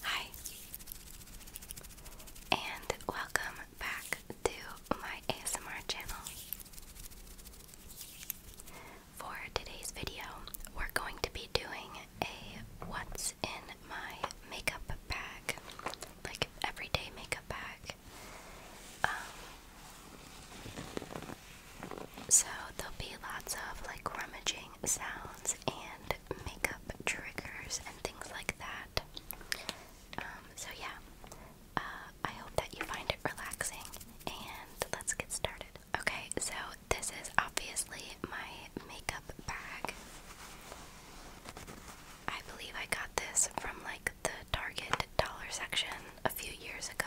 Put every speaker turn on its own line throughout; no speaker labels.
Hi, and welcome back to my ASMR channel. For today's video, we're going to be doing a what's in my makeup bag, like everyday makeup bag. Um, so there'll be lots of like rummaging sounds and makeup triggers and things like that. Um, so yeah, uh, I hope that you find it relaxing and let's get started. Okay, so this is obviously my makeup bag. I believe I got this from like the Target dollar section a few years ago.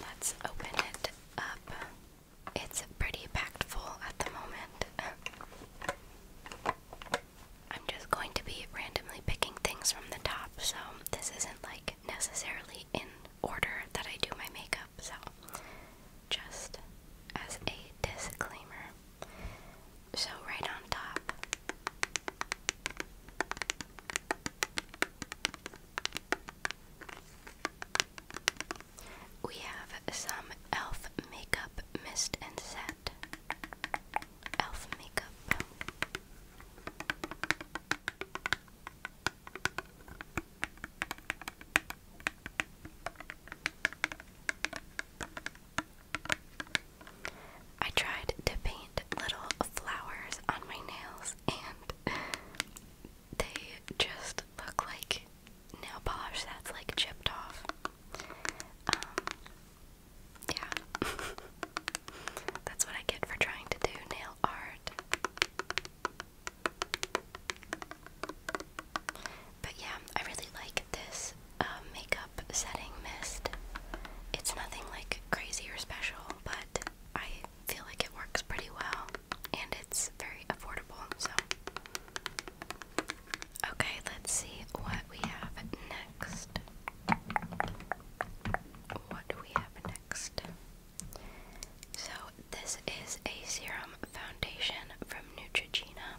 Let's open it up. It's pretty packed full at the moment. I'm just going to be randomly picking things from the top, so this isn't like necessarily in order that I do my makeup, so just as a disclaimer. So, right on top we have some e.l.f. makeup mist and set. e.l.f. makeup. I tried to paint little flowers on my nails, and they just look like nail polish that's like chipped off. Um, yeah. that's what I get for trying to do nail art. But yeah, I really like this uh, makeup setting mist. It's nothing like crazy or special, but I feel like it works pretty well and it's very affordable. So, okay, let's see what we have next. What do we have next? So, this is a serum foundation from Neutrogena.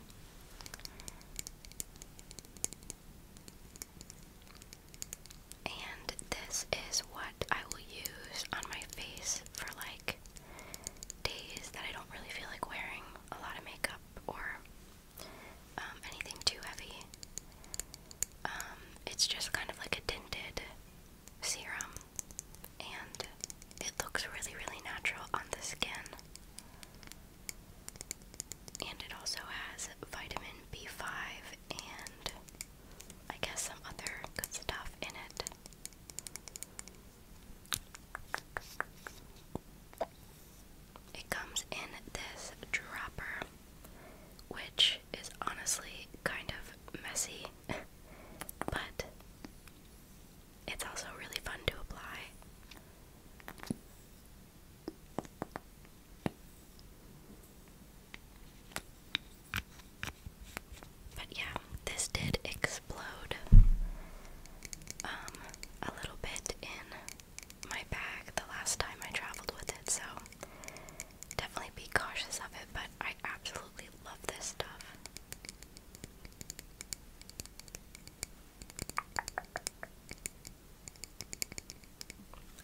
And this is what I will use on my face for like days that I don't really feel like wearing a lot of makeup or um, anything too heavy. Um, it's just kind of like a tinted serum and it looks really, really natural on the skin. And it also has vitamin B5 and I guess some other good stuff in it. It comes in this dropper, which is honestly kind of messy, but it's also really fun to apply. But yeah, this did explode um, a little bit in my bag the last time I traveled with it, so definitely be cautious of it, but I absolutely love this stuff.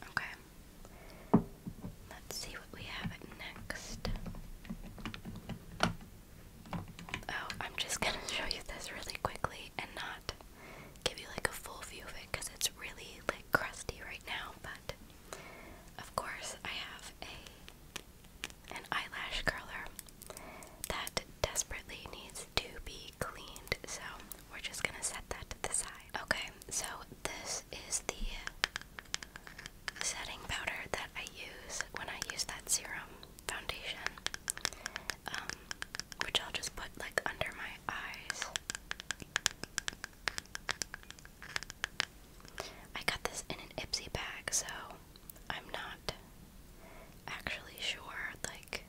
Okay. Let's see what we have next. Oh, I'm just gonna show you this really quickly and not give you like a full view of it because it's really like crusty right now, but of course I have an eyelash curler that desperately needs to be cleaned, so we're just gonna set that to the side. Okay, so this is the setting powder that I use when I use that serum foundation, um, which I'll just put like under my eyes. I got this in an Ipsy bag, so I'm not actually sure like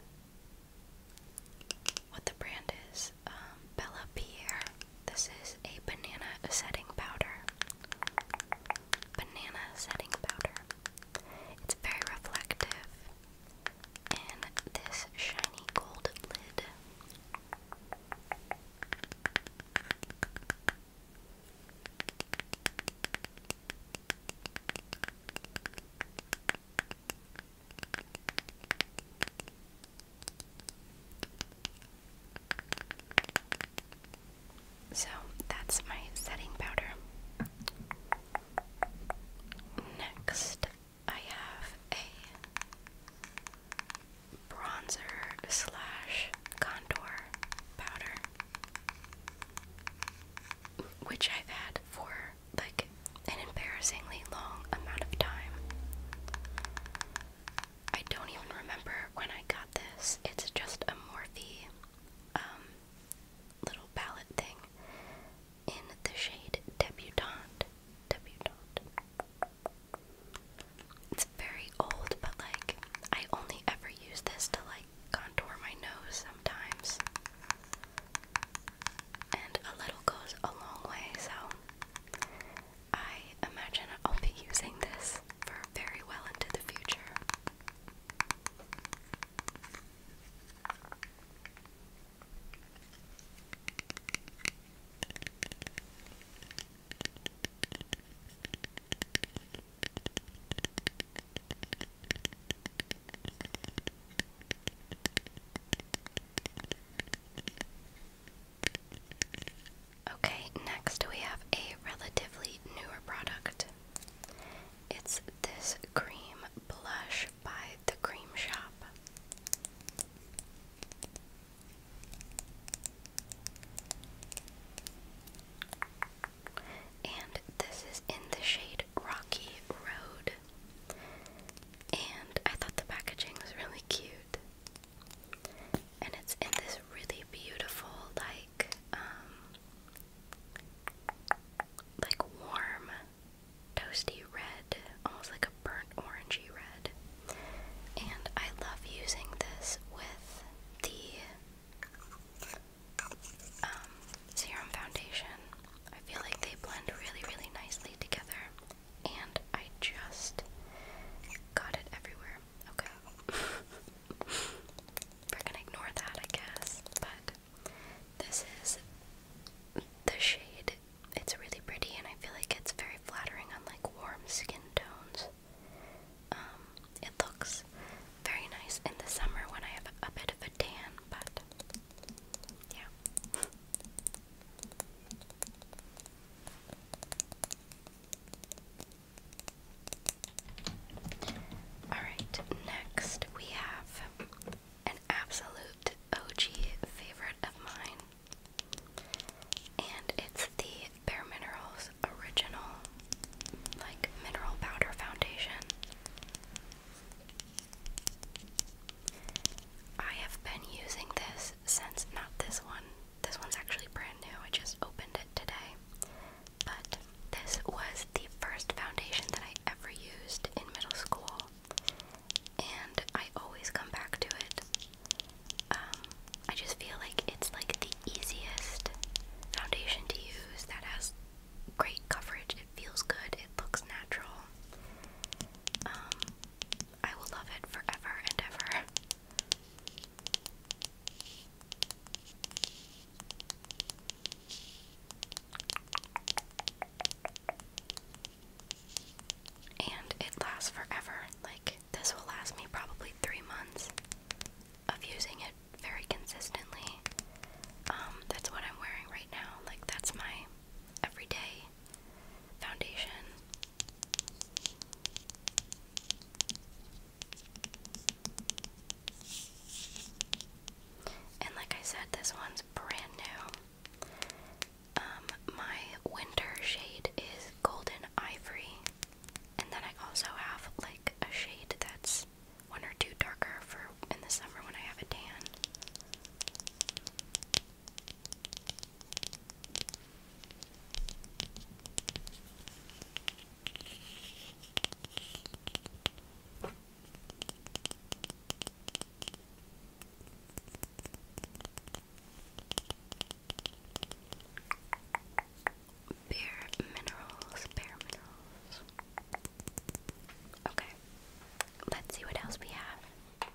what the brand is. Um, Bella Pierre. This is a banana setting powder. Banana setting powder. It's very reflective in this shiny gold lid. So that's my setting powder. Next, I have a bronzer slash contour powder, which I've had for like an embarrassingly long amount of time. I don't even remember when I got this. It's just a Morphe um, little palette thing in the shade Debutante. Debutante. It's very old, but like, I only ever use this to like contour my nose sometimes. And a little goes a long way, so I imagine I'll be using this for very well into the future. Okay, next we have a relatively newer product. It's this cream blush by The Cream Shop. And this is in the shade Rocky Road. And I thought the packaging was really cute. And it's in this really beautiful, like, um, like warm, toasty red, almost like a burnt orangey red. And I love using this with the um, serum foundation. I feel like they blend really, really nicely together and I just got it everywhere. Okay. We're gonna ignore that, I guess. But this is the shade. It's really pretty, and I feel like it's very flattering on like warm skin tones. Um, it looks very nice in the summer when I have a bit of a tan, but yeah. Alright, next we have an absolute OG favorite of mine. And it's the Bare Minerals Original, like, mineral powder foundation. I have been using this since, not this one, this one's actually brand new, I just opened it today. But this was the first foundation that I ever used in middle school, and I always come back to it. Um, I just feel like it's like the easiest foundation to use that has great coverage, it feels good, it looks natural. Um, I will love it forever and ever. And it lasts forever. Like, this will last me probably three months of using it very consistently. Um, that's what I'm wearing right now. Like, that's my everyday foundation. And like I said, this one's brand new. Um, my winter shade is golden ivory, and then I also have like a shade that's one or two darker for in the summer when I have a tan. Bare minerals, bare minerals. Okay, let's see what else we have. Okay.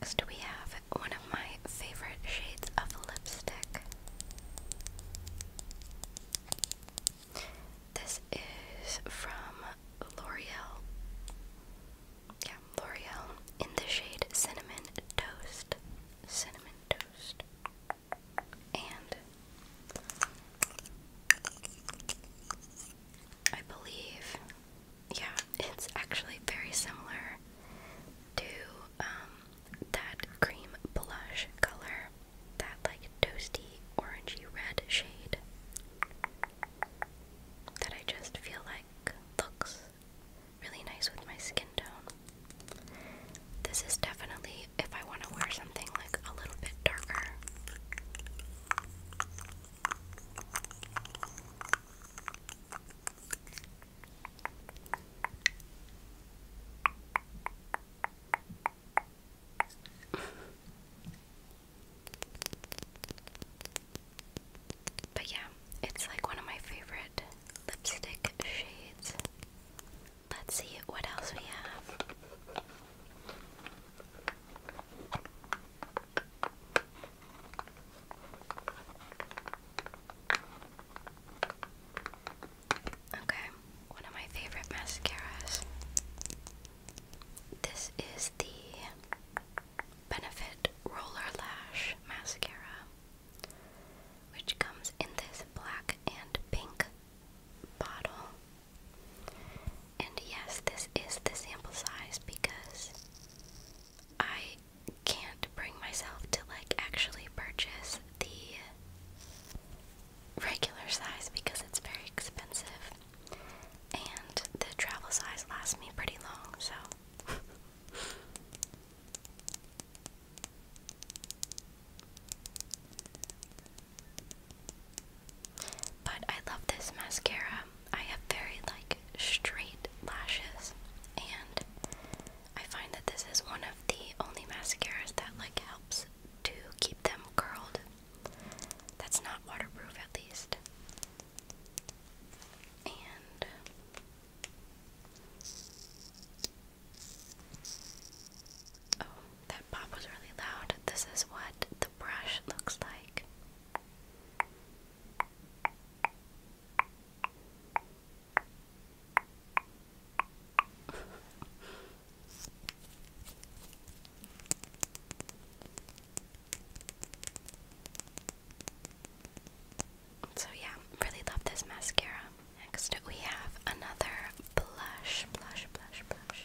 Next, we have one of my favorite shades of lipstick. This is from L'Oreal. Yeah, L'Oreal in the shade Cinnamon Toast. Cinnamon Toast. And I believe, yeah, it's actually very similar to um, that cream blush color that like toasty orangey red shade that I just feel like looks really nice with my skin tone. This is definitely if I want to wear something like a little bit darker but yeah, it's like one of my favorite lipstick shades. Let's see what else we have. Okay, one of my favorite mascaras. This is the Benefit Roller Lash Mascara, which comes in this black and pink bottle. And yes, this is the sample size because I can't bring myself to like actually purchase the regular size because it's very expensive, and the travel size lasts me pretty long, so. But I love this mascara. I have very like straight lashes and I find that this is one of the only mascaras that like helps to keep them curled that's not waterproof, at least. Oh, that pop was really loud. This is what the brush looks like. So yeah, really love this mascara. Next we have another blush, blush, blush, blush.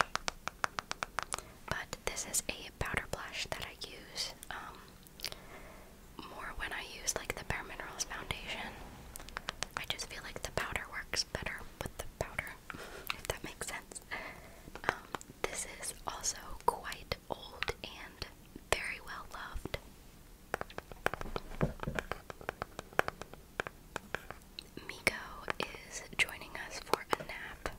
But this is a powder blush that I use um, more when I use like the Bare Minerals foundation. I just feel like the powder works better with the powder, if that makes sense. Um, this is also quite old and very well loved. Miko is joining us for a nap.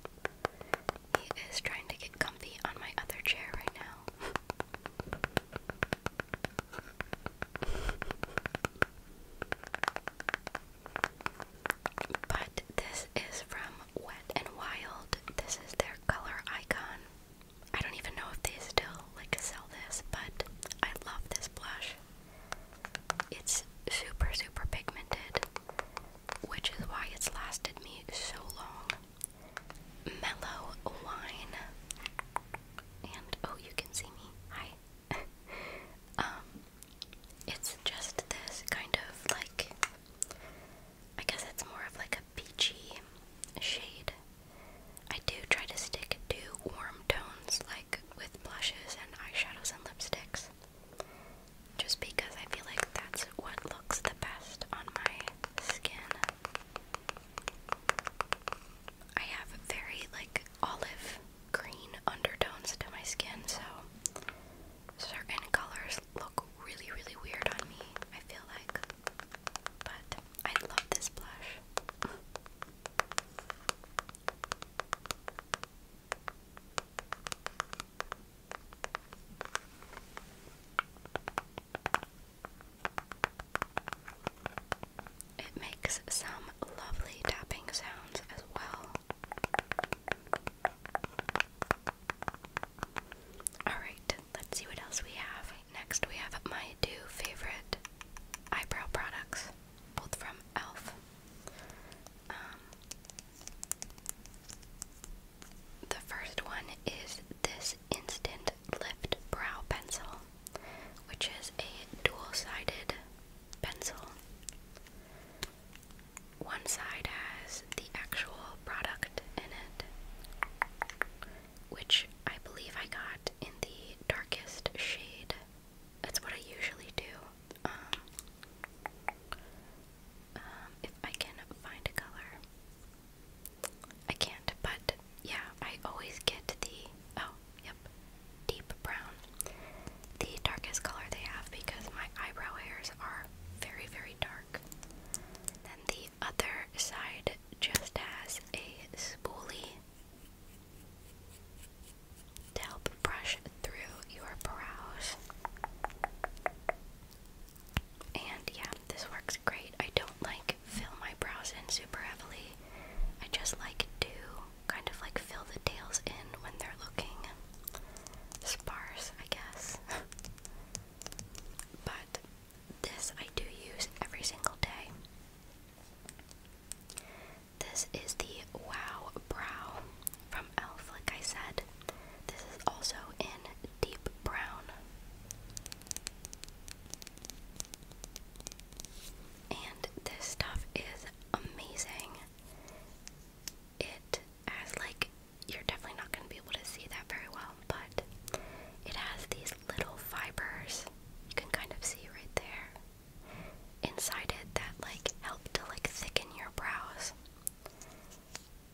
He is trying to get comfy on my other chair right now. But this is from Wet and Wild. This is their color icon. I don't even know if they still like sell this, but I love this blush. It's super super pigmented, which is why it's lasted me so long. Mellow wine. And oh, you can see me. Hi. Um, it's just this kind of like, I guess it's more of like a peachy shade. I do try to stick to warm tones like with blushes and eyeshadows and lipsticks. Just because I feel like that's what looks the best on my skin. I have very like olive green undertones to my skin, so certain colors look really, really weird on me, I feel like. But I love this blush. It makes some lovely tapping sounds as well. Alright, let's see what else we have. Next, we have my two favorite eyebrow products, both from e.l.f. Um, the first one is this Instant Lift Brow Pencil, which is a dual sided pencil. One side has the actual product in it, which I believe I got in the darkest shade. That's what I usually do. Um, um, if I can find a color, I can't, but yeah, I always get the. Oh, Yep. Deep brown. The darkest color they have because my eyebrow hairs are very, very dark. then the other side just has a spoolie to help brush through your brows. And yeah, this works great. I don't like fill my brows in super heavily. I just like to kind of like fill the tails in when they're looking sparse, I guess. but this I do use every single day. This is the Wow Brow from e.l.f., like I said. This is also in deep brown. And this stuff is amazing. It has like you're definitely not going to be able to see that very well, but it has these little fibers. You can kind of see right there inside it that like help to like thicken your brows.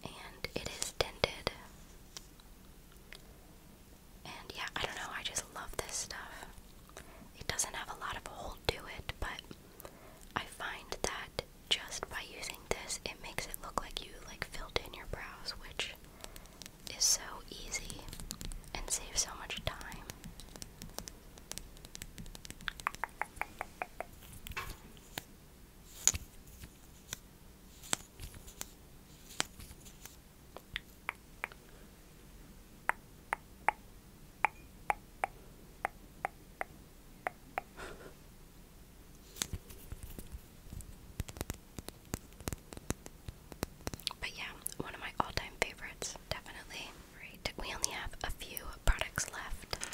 And it is dented. And yeah, I don't know, I just love this stuff. It doesn't have a lot of hold to it, but I find that just by using this, it makes it look like you like filled in your brows, which is so easy and saves so much time. But yeah, one of my all time favorites, definitely. we only have a few products left.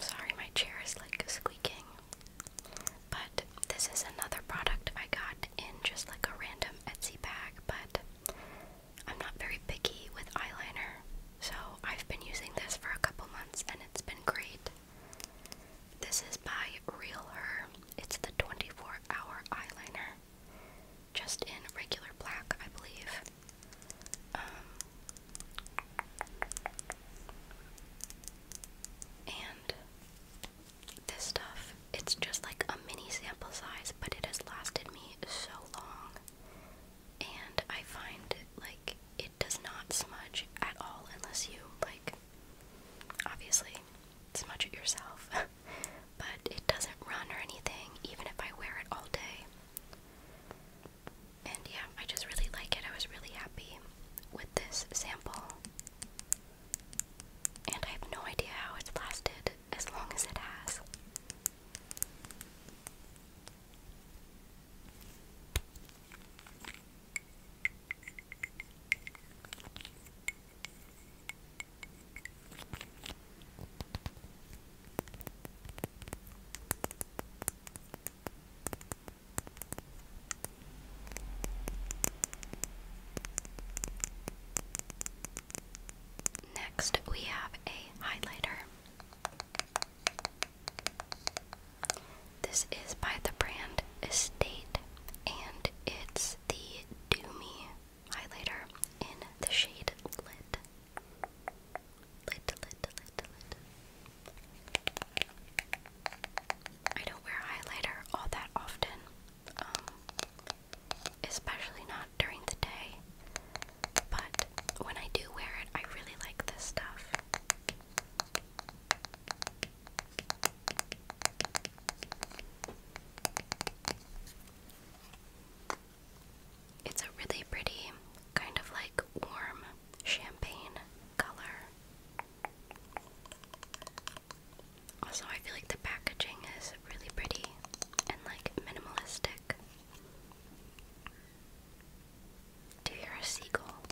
sorry, my chair is like squeaking. But this is another product I got in just like a random Etsy bag, but I'm not very picky with eyeliner, so I've been using this for a couple months and it's been great. This is by Real Her. It's the 24 hour eyeliner. Just in regular black, I believe. Um, and this stuff it's just like a mini sample size, but it has lasted me so long. And I find like it does not smudge at all unless you like obviously smudge it yourself. but it doesn't run or anything even if I wear it all day. And yeah, I just really like it. I was really happy with this sample. And I have no idea how it's lasted as long as it has. Next, we have a highlighter. This is by the brand Estate, and it's the Doomy highlighter in the shade Lit. I don't wear highlighter all that often, um, especially not during the day. But when I do wear it, I really like this stuff. It's a really pretty, kind of like warm champagne color. Also, I feel like the packaging is really pretty and like minimalistic. Do you hear a seagull?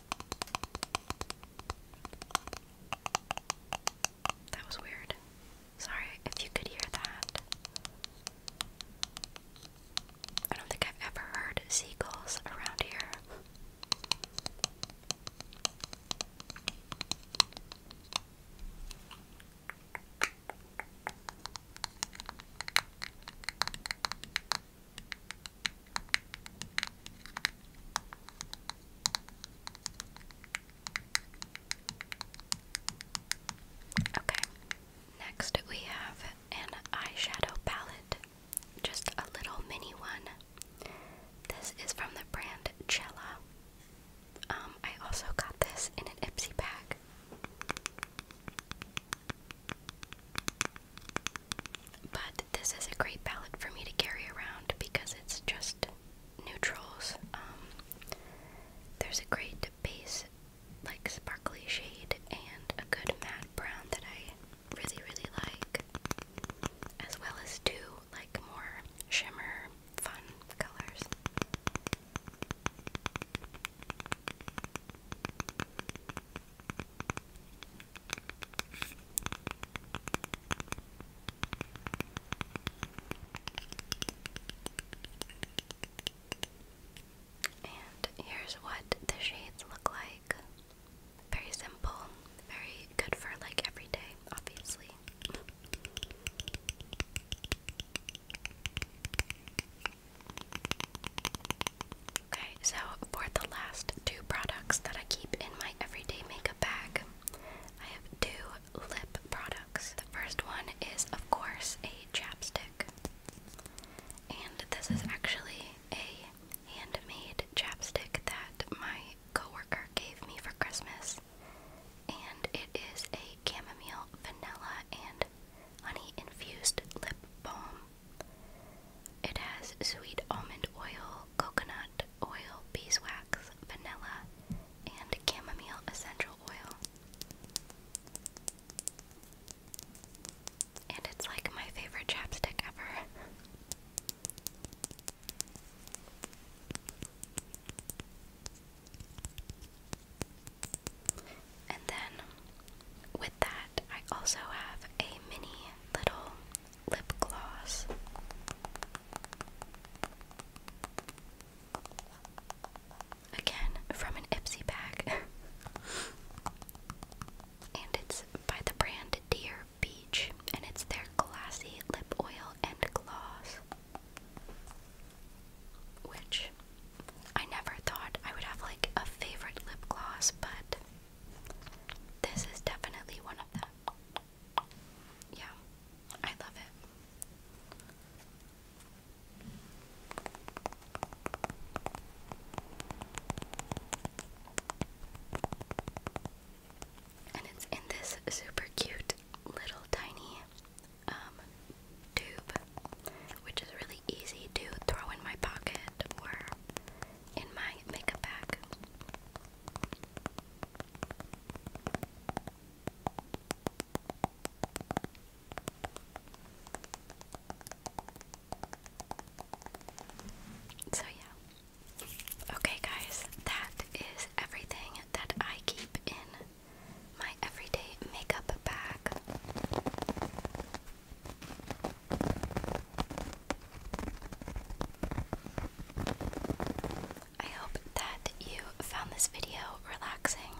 That was weird. Sorry if you could hear that. I don't think I've ever heard seagulls around here. Okay, next we have an eyeshadow palette, just a little mini one. This is from the brand Cella. Um, I also got this in an Ipsy bag. But this is a great palette for me to carry around because it's just neutrals. Um, there's a great base, like sparkly shade, and a good matte brown that I really, really like, as well as two, like, more shimmer fun colors. And here's what the shades look like. Very simple, very good for like every day, obviously. Okay, so for the last two products that I keep in my everyday makeup bag, I have two lip products. The first one is, of course, a chapstick. And this is actually a handmade chapstick that my coworker gave me for Christmas. And it is a chamomile, vanilla, and honey infused lip balm. It has sweet almond oil, coconut oil, beeswax, vanilla, and chamomile essential oil. And it's like my favorite chapstick ever. And then with that, I also have a mini little lip gloss. Again, from an Ipsy bag. and it's by the brand Dear Beach, and it's their glassy lip oil and gloss. Which I never thought I would have like a favorite lip gloss, but this is definitely one of them. Yeah, I love it. And it's in this super cute little tiny um, tube, which is really easy to throw in my pocket or in my makeup bag. So, yeah. Okay, guys, that is everything that I keep in my everyday makeup bag. I hope that you found this video relaxing.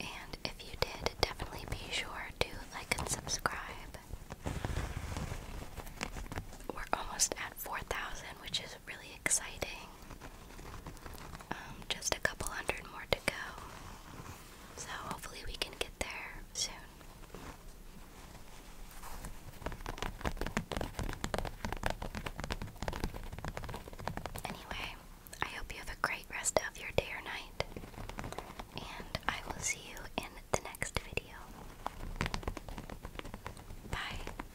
And if you did, definitely be sure to like and subscribe. We're almost at 4,000, which is really exciting. Um, just a couple hundred more to go. So hopefully we can get there soon. Anyway, I hope you have a great rest of your day or night, and I will see you in the next video. Bye.